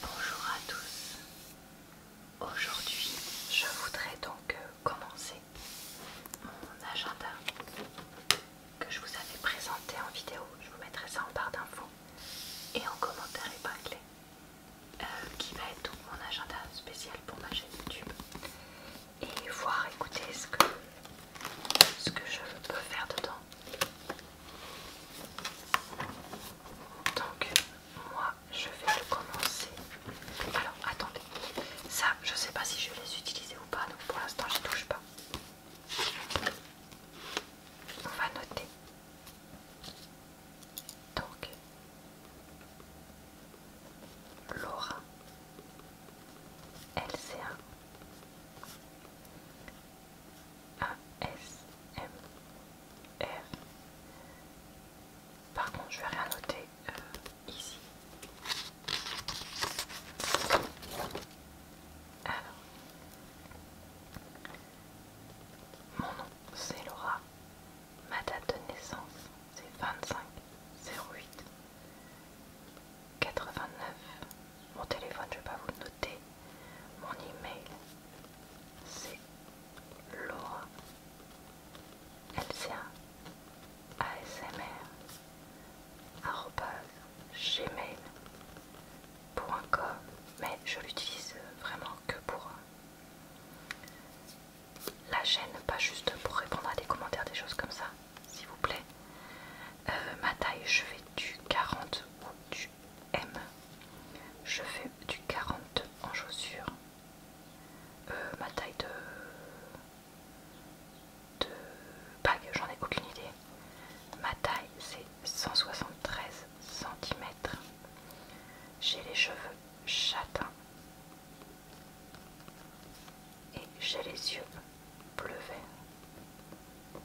Bonjour à tous. Aujourd'hui, je voudrais donc euh, commencer mon agenda que je vous avais présenté en vidéo. Je vous mettrai ça en barre d'infos et en commentaire épinglé, clé euh, qui va être donc mon agenda spécial pour ma chaîne YouTube et voir, écouter ce que ce que je peux faire dedans donc moi je vais le commencer. Alors attendez, ça je sais pas si je vais les utiliser ou pas, donc pour l'instant je les touche pas. On va noter. Donc Laura elle' un... R Par contre, je vais rien noter euh, ici. mon nom c'est Laura. Ma date de naissance c'est 25 08 89. Mon téléphone, je vais pas vous le mon email c'est Laura LCA ASMR gmail.com mais je l'utilise vraiment que pour euh, la chaîne, pas juste pour répondre à des commentaires, des choses comme ça, s'il vous plaît. Euh, ma taille, je fais du 40 ou du M. Je fais du 40 en chaussures. Euh, ma taille de, de bague, j'en ai aucune idée. Ma taille c'est 173 cm. J'ai les cheveux châtains et j'ai les yeux bleu vert.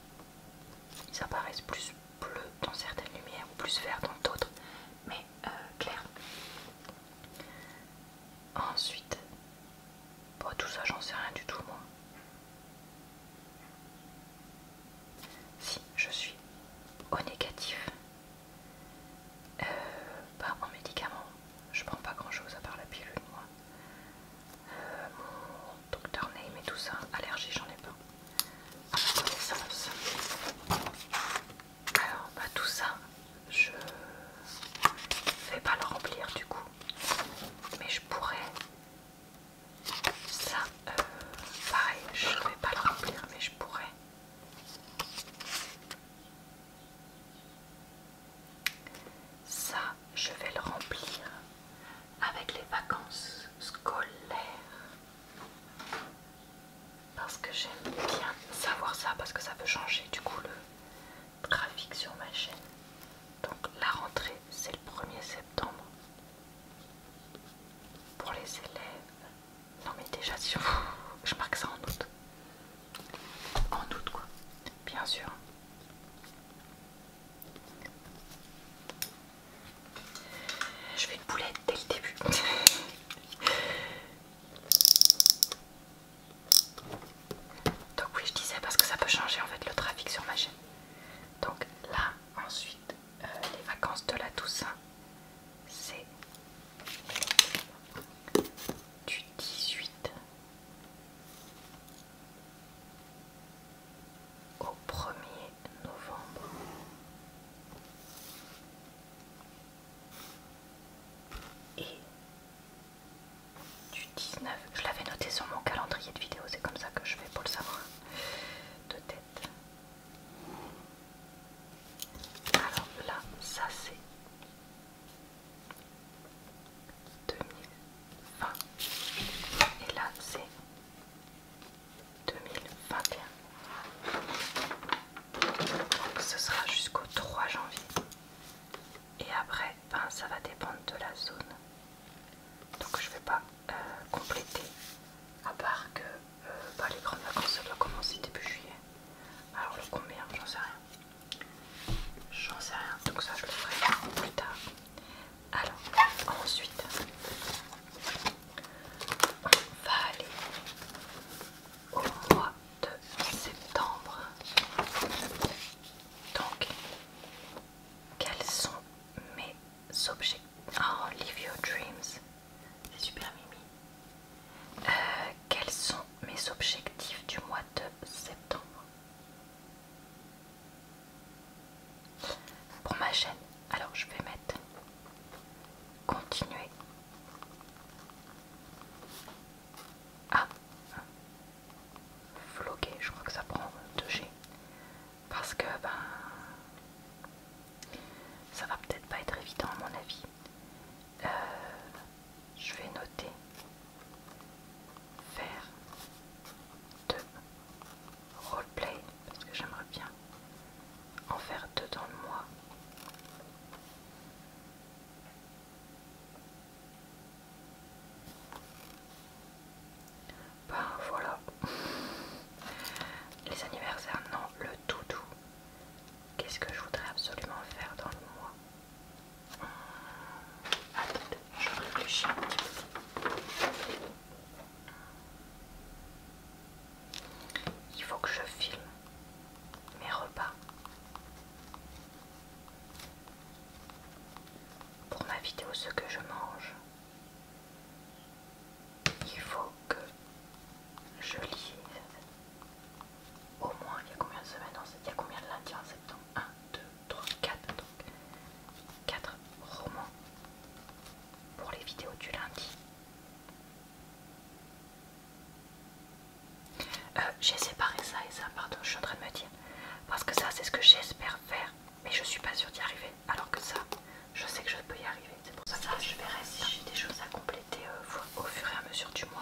Ils apparaissent plus bleus dans certaines lumières ou plus vert dans d'autres, mais euh, clair Ensuite, pour tout ça j'en sais rien du tout moi. Si je suis au négatif, pas euh, bah, en médicament, je prends pas grand chose à part la pilule moi. Euh, mon docteur Name et tout ça. Allergie, j'en ai pas. À ah, ma connaissance. Alors, bah, tout ça, je vais pas le remplir du coup. Mais je pourrais. Ça, euh, pareil, je vais pas le remplir, mais je pourrais. Ça, je vais le remplir avec les vacances scolaires. Parce que j'aime bien savoir ça, parce que ça peut changer du coup le trafic sur ma chaîne. Donc la rentrée, c'est le 1er septembre. Pour les élèves. Non mais déjà, si je marque ça en août. En août quoi. Bien sûr. Je fais une boulette dès le début. Donc oui, je disais parce que ça peut changer en fait le trafic sur ma chaîne. Donc là, ensuite, euh, les vacances de la Toussaint, c'est du 18 au 1er novembre. Et du 19, je l'avais noté sur mon calendrier de vidéo, c'est comme ça que je fais pour le savoir de tête. Alors là, ça c'est 2020 et là c'est 2021 donc ce sera jusqu'au 3 janvier et après ben, ça va dépendre de la zone donc je vais pas euh, compléter à part que euh, bah, les grandes vacances ça doit commencer début juillet alors le combien j'en sais rien J'en sais rien, donc ça je le ferai plus tard. Alors, ensuite, on va aller au mois de septembre. Donc, quels sont mes objectifs... Oh, Live Your Dreams, c'est super mimi. Euh, quels sont mes objectifs du mois de septembre. Pour ma chaîne, alors je vais mettre continuer. à ah, floquer, je crois que ça prend 2G. Parce que ben ça va peut-être pas être évident à mon avis euh, je vais noter faire deux roleplay parce que j'aimerais bien en faire deux dans le mois. Ben voilà. Les anniversaires, non, le tout doudou. Qu'est-ce que je voudrais absolument faire dans le mois je réfléchis Il faut que je filme mes repas pour ma vidéo ce que je mange. Il faut que je lise au moins il y a combien de semaines il y a combien de lundis en septembre 1, 2, 3, 4 donc 4 romans pour les vidéos du lundi euh, j'ai séparé ça et ça pardon je suis en train de me dire parce que ça c'est ce que j'espère faire mais je suis pas sûre d'y arriver alors que ça je sais que je peux y arriver c'est pour ça que je verrai si j'ai des choses à compléter euh, au fur et à mesure du mois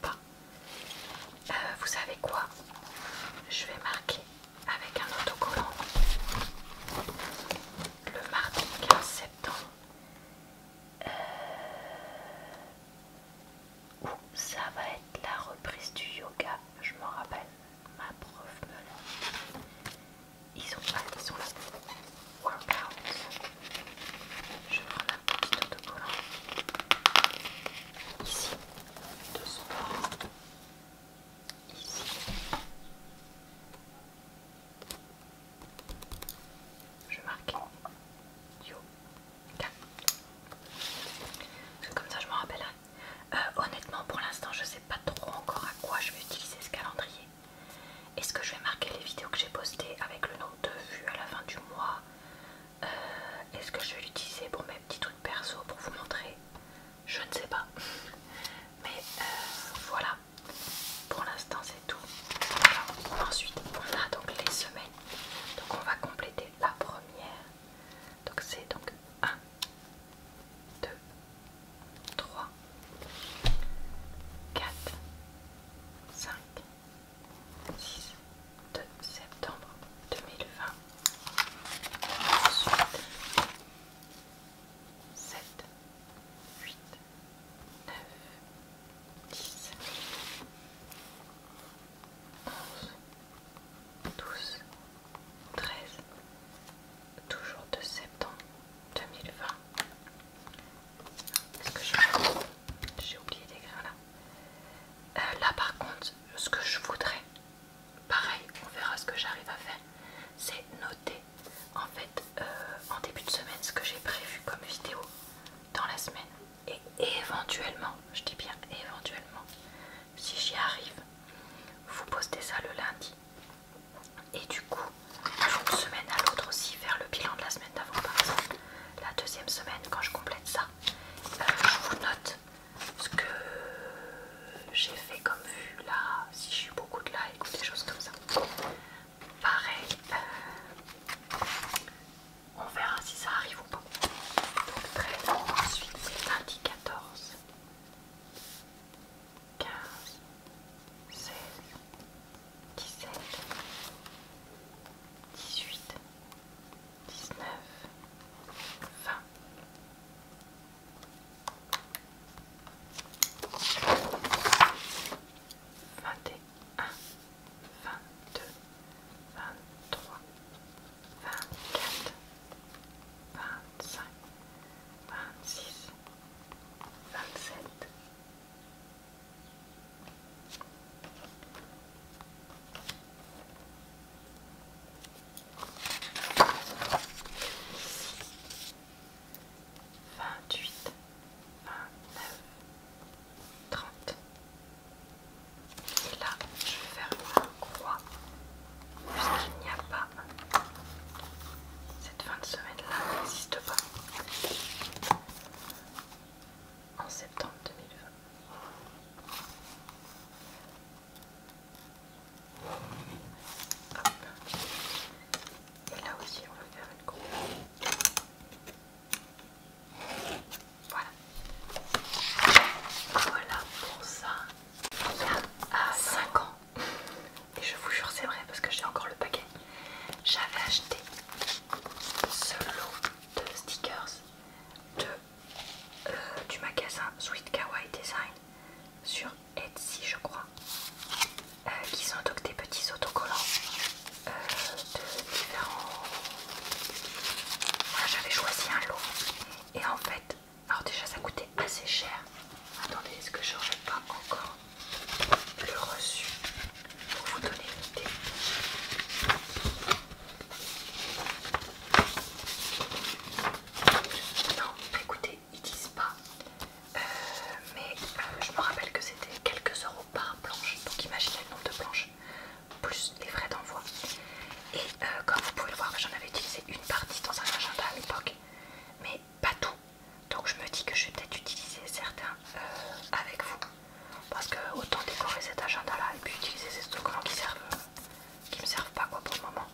pas. Euh, vous savez quoi Je vais marquer avec un autocollant le mardi 15 septembre euh, où ça va être la reprise du yoga. Je m'en rappelle, ma prof me l'a. Ils ont pas, ils sont Workout. Je prends la un petit autocollant. Ici, de bord. Ici. Je marque Yo. 4. comme ça je m'en rappellerai. Euh, honnêtement pour l'instant je sais pas trop encore à quoi je vais utiliser ce calendrier. Est-ce que je vais marquer les vidéos que j'ai postées avec le nombre de vues à la fin du mois euh, est-ce que je vais l'utiliser pour mes petits trucs perso pour vous montrer Je ne sais pas. Mais euh, voilà, pour l'instant c'est tout. ensuite on a donc les semaines. Donc on va compléter la première. Donc c'est donc 1, 2, 3, 4, 5, 6 septembre 2020. 7, 8, 9, 10, 11, 12, 13, toujours de septembre 2020. Est-ce que j'ai oublié d'écrire là euh, Là par contre, ce que je voudrais, pareil, on verra ce que j'arrive à faire, c'est noter en fait euh, en début de semaine ce que j'ai prévu comme vidéo dans la semaine. Et éventuellement, je dis bien éventuellement, si j'y arrive, vous postez ça le lundi. Et du coup, une semaine à l'autre aussi, faire le bilan de la semaine d'avant par exemple. La deuxième semaine, quand je complète ça, euh, je vous note ce que j'ai fait comme vue là, si j'ai eu beaucoup de likes ou des choses comme ça. Pareil, euh, on verra si ça arrive ou pas. Donc très bien, ensuite c'est lundi 14, 15, 16, 17, 18, 19, 20. Vingt et un, vingt-deux, vingt-trois, vingt-quatre, vingt-cinq, vingt-six, vingt-sept, 28, 29, 30 Et là je vais faire la croix Puisqu'il n'y a pas Cette fin de semaine là n'existe pas en septembre 2020. Et là aussi, on va faire une coupe. Voilà. Voilà pour ça. Il y a 5 ans et je vous jure c'est vrai parce que j'ai encore le paquet j'avais acheté ce lot de stickers euh, du magasin Sweet Kawaii Design sur Etsy je crois euh, qui sont donc des petits autocollants euh, de différents voilà j'avais choisi un lot et en fait alors déjà ça coûtait assez cher attendez est-ce que je n'aurais pas encore le reçu pour vous donner une idée. Non, écoutez, ils disent pas, euh, mais euh, je me rappelle que c'était quelques euros par planche, donc imaginez le nombre de planches, plus les frais d'envoi. Et euh, comme vous pouvez le voir, j'en avais utilisé une partie dans un agenda à l'époque, mais pas tout. Donc je me dis que je vais peut-être utiliser certains euh, avec vous. Parce que autant décorer cet agenda là et puis utiliser ces stockants qui servent qui me servent pas quoi pour le moment.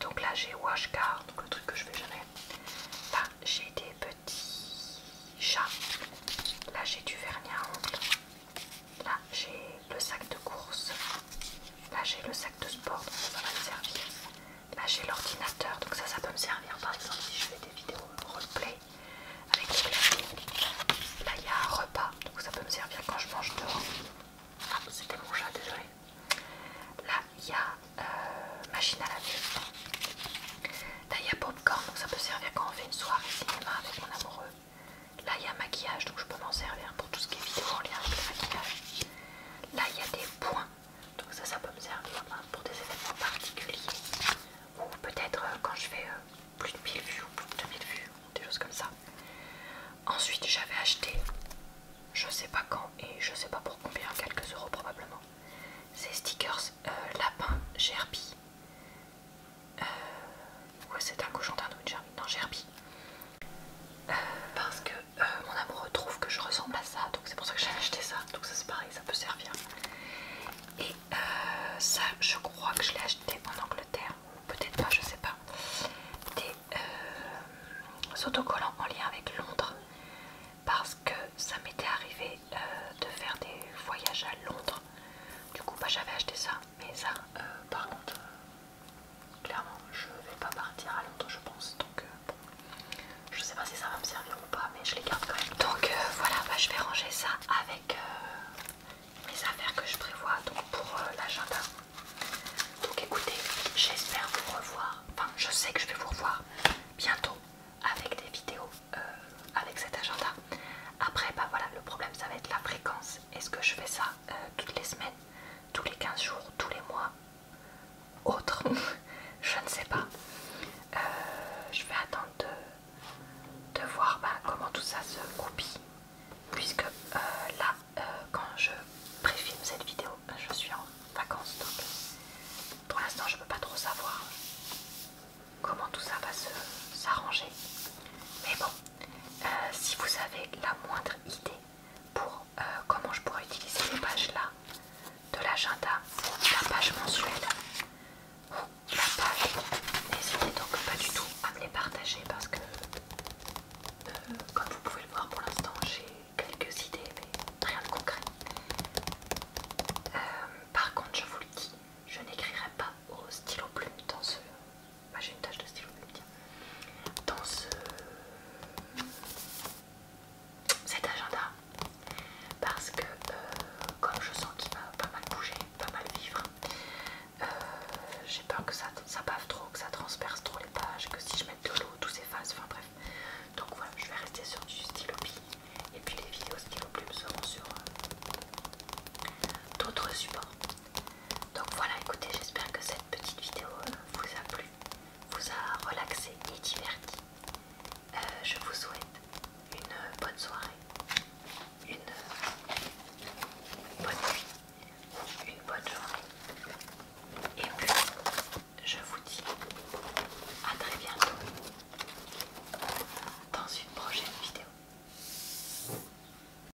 Donc là j'ai Washcard, donc le truc que je fais jamais. Là j'ai des petits chats. Là j'ai du vernis à Là j'ai le sac de course. Là j'ai le sac de sport, donc va Là j'ai l'ordinateur, donc ça, ça peut me servir par exemple si je fais des vidéos roleplay avec les claviers. Là il y a un repas, donc ça peut me servir quand je mange dehors. Ah, c'était mon chat, désolé. Là il y a euh, machine à laver. Là il y a popcorn, donc ça peut servir quand on fait une soirée cinéma avec mon amoureux. Là il y a maquillage, donc je peux m'en servir pour tout ce qui est vidéo en lien avec le maquillage. Là il y a des points, donc ça, ça peut me servir hein, pour des événements particuliers ou peut-être euh, quand je fais euh, plus de 1000 vues ou plus de 2000 vues, des choses comme ça. Ensuite, j'avais acheté, je sais pas quand et je sais pas pour combien, quelques euros probablement, ces stickers euh, lapin Gerby. ouais, c'est un cochon d'Inde ou gerbi dans non, Gerby. parce que euh, mon amoureux trouve que je ressemble à ça, donc c'est pour ça que j'ai acheté ça. Donc ça c'est pareil, ça peut servir. Et euh, ça, je crois que je l'ai acheté en Angleterre, peut-être pas, je sais pas. Des euh, autocollants en lien avec Londres, parce que ça m'était arrivé de faire des voyages à Londres. Du coup, bah, j'avais acheté ça, mais ça, par contre, clairement je vais pas partir à Londres je pense donc euh, je sais pas si ça va me servir ou pas mais je les garde quand même donc euh, voilà bah, je vais ranger ça avec euh, mes affaires que je prévois donc pour l'agenda donc écoutez j'espère vous revoir enfin je sais que je vais vous revoir bientôt avec des vidéos avec cet agenda après bah voilà le problème ça va être la fréquence est-ce que je fais ça toutes les semaines tous les 15 jours tous les mois autre, je ne sais pas. Euh, je vais attendre de, voir bah, comment tout ça se goupille, puisque euh, là, euh, quand je préfilme cette vidéo, je suis en vacances, donc pour l'instant, je ne peux pas trop savoir comment tout ça va se s'arranger. Mais bon, si vous avez la moindre idée pour euh, comment je pourrais utiliser les pages là de l'agenda, la page mensuelle ou oh, la page. N'hésitez donc pas du tout à me les partager parce que, euh, comme vous pouvez le voir pour l'instant, j'ai quelques idées mais rien de concret. Euh, par contre, je vous le dis, je n'écrirai pas au stylo plume dans ce ah, j'ai une tâche de stylo, plume, Dans ce... cet agenda, parce que euh, comme je sens qu'il va pas mal bouger, pas mal vivre, euh, j'ai peur que ça, ça bave trop, que ça transperce trop les pages, que si je mets de l'eau, tout s'efface, enfin bref. Donc voilà, je vais rester sur du stylo et puis les vidéos stylo plume seront sur euh, d'autres supports. Donc voilà, écoutez, j'espère que cette petite vidéo euh, vous a plu, vous a relaxé et diverti. Euh, je vous souhaite une bonne soirée, une bonne nuit, une bonne journée. Et puis, je vous dis à très bientôt dans une prochaine vidéo.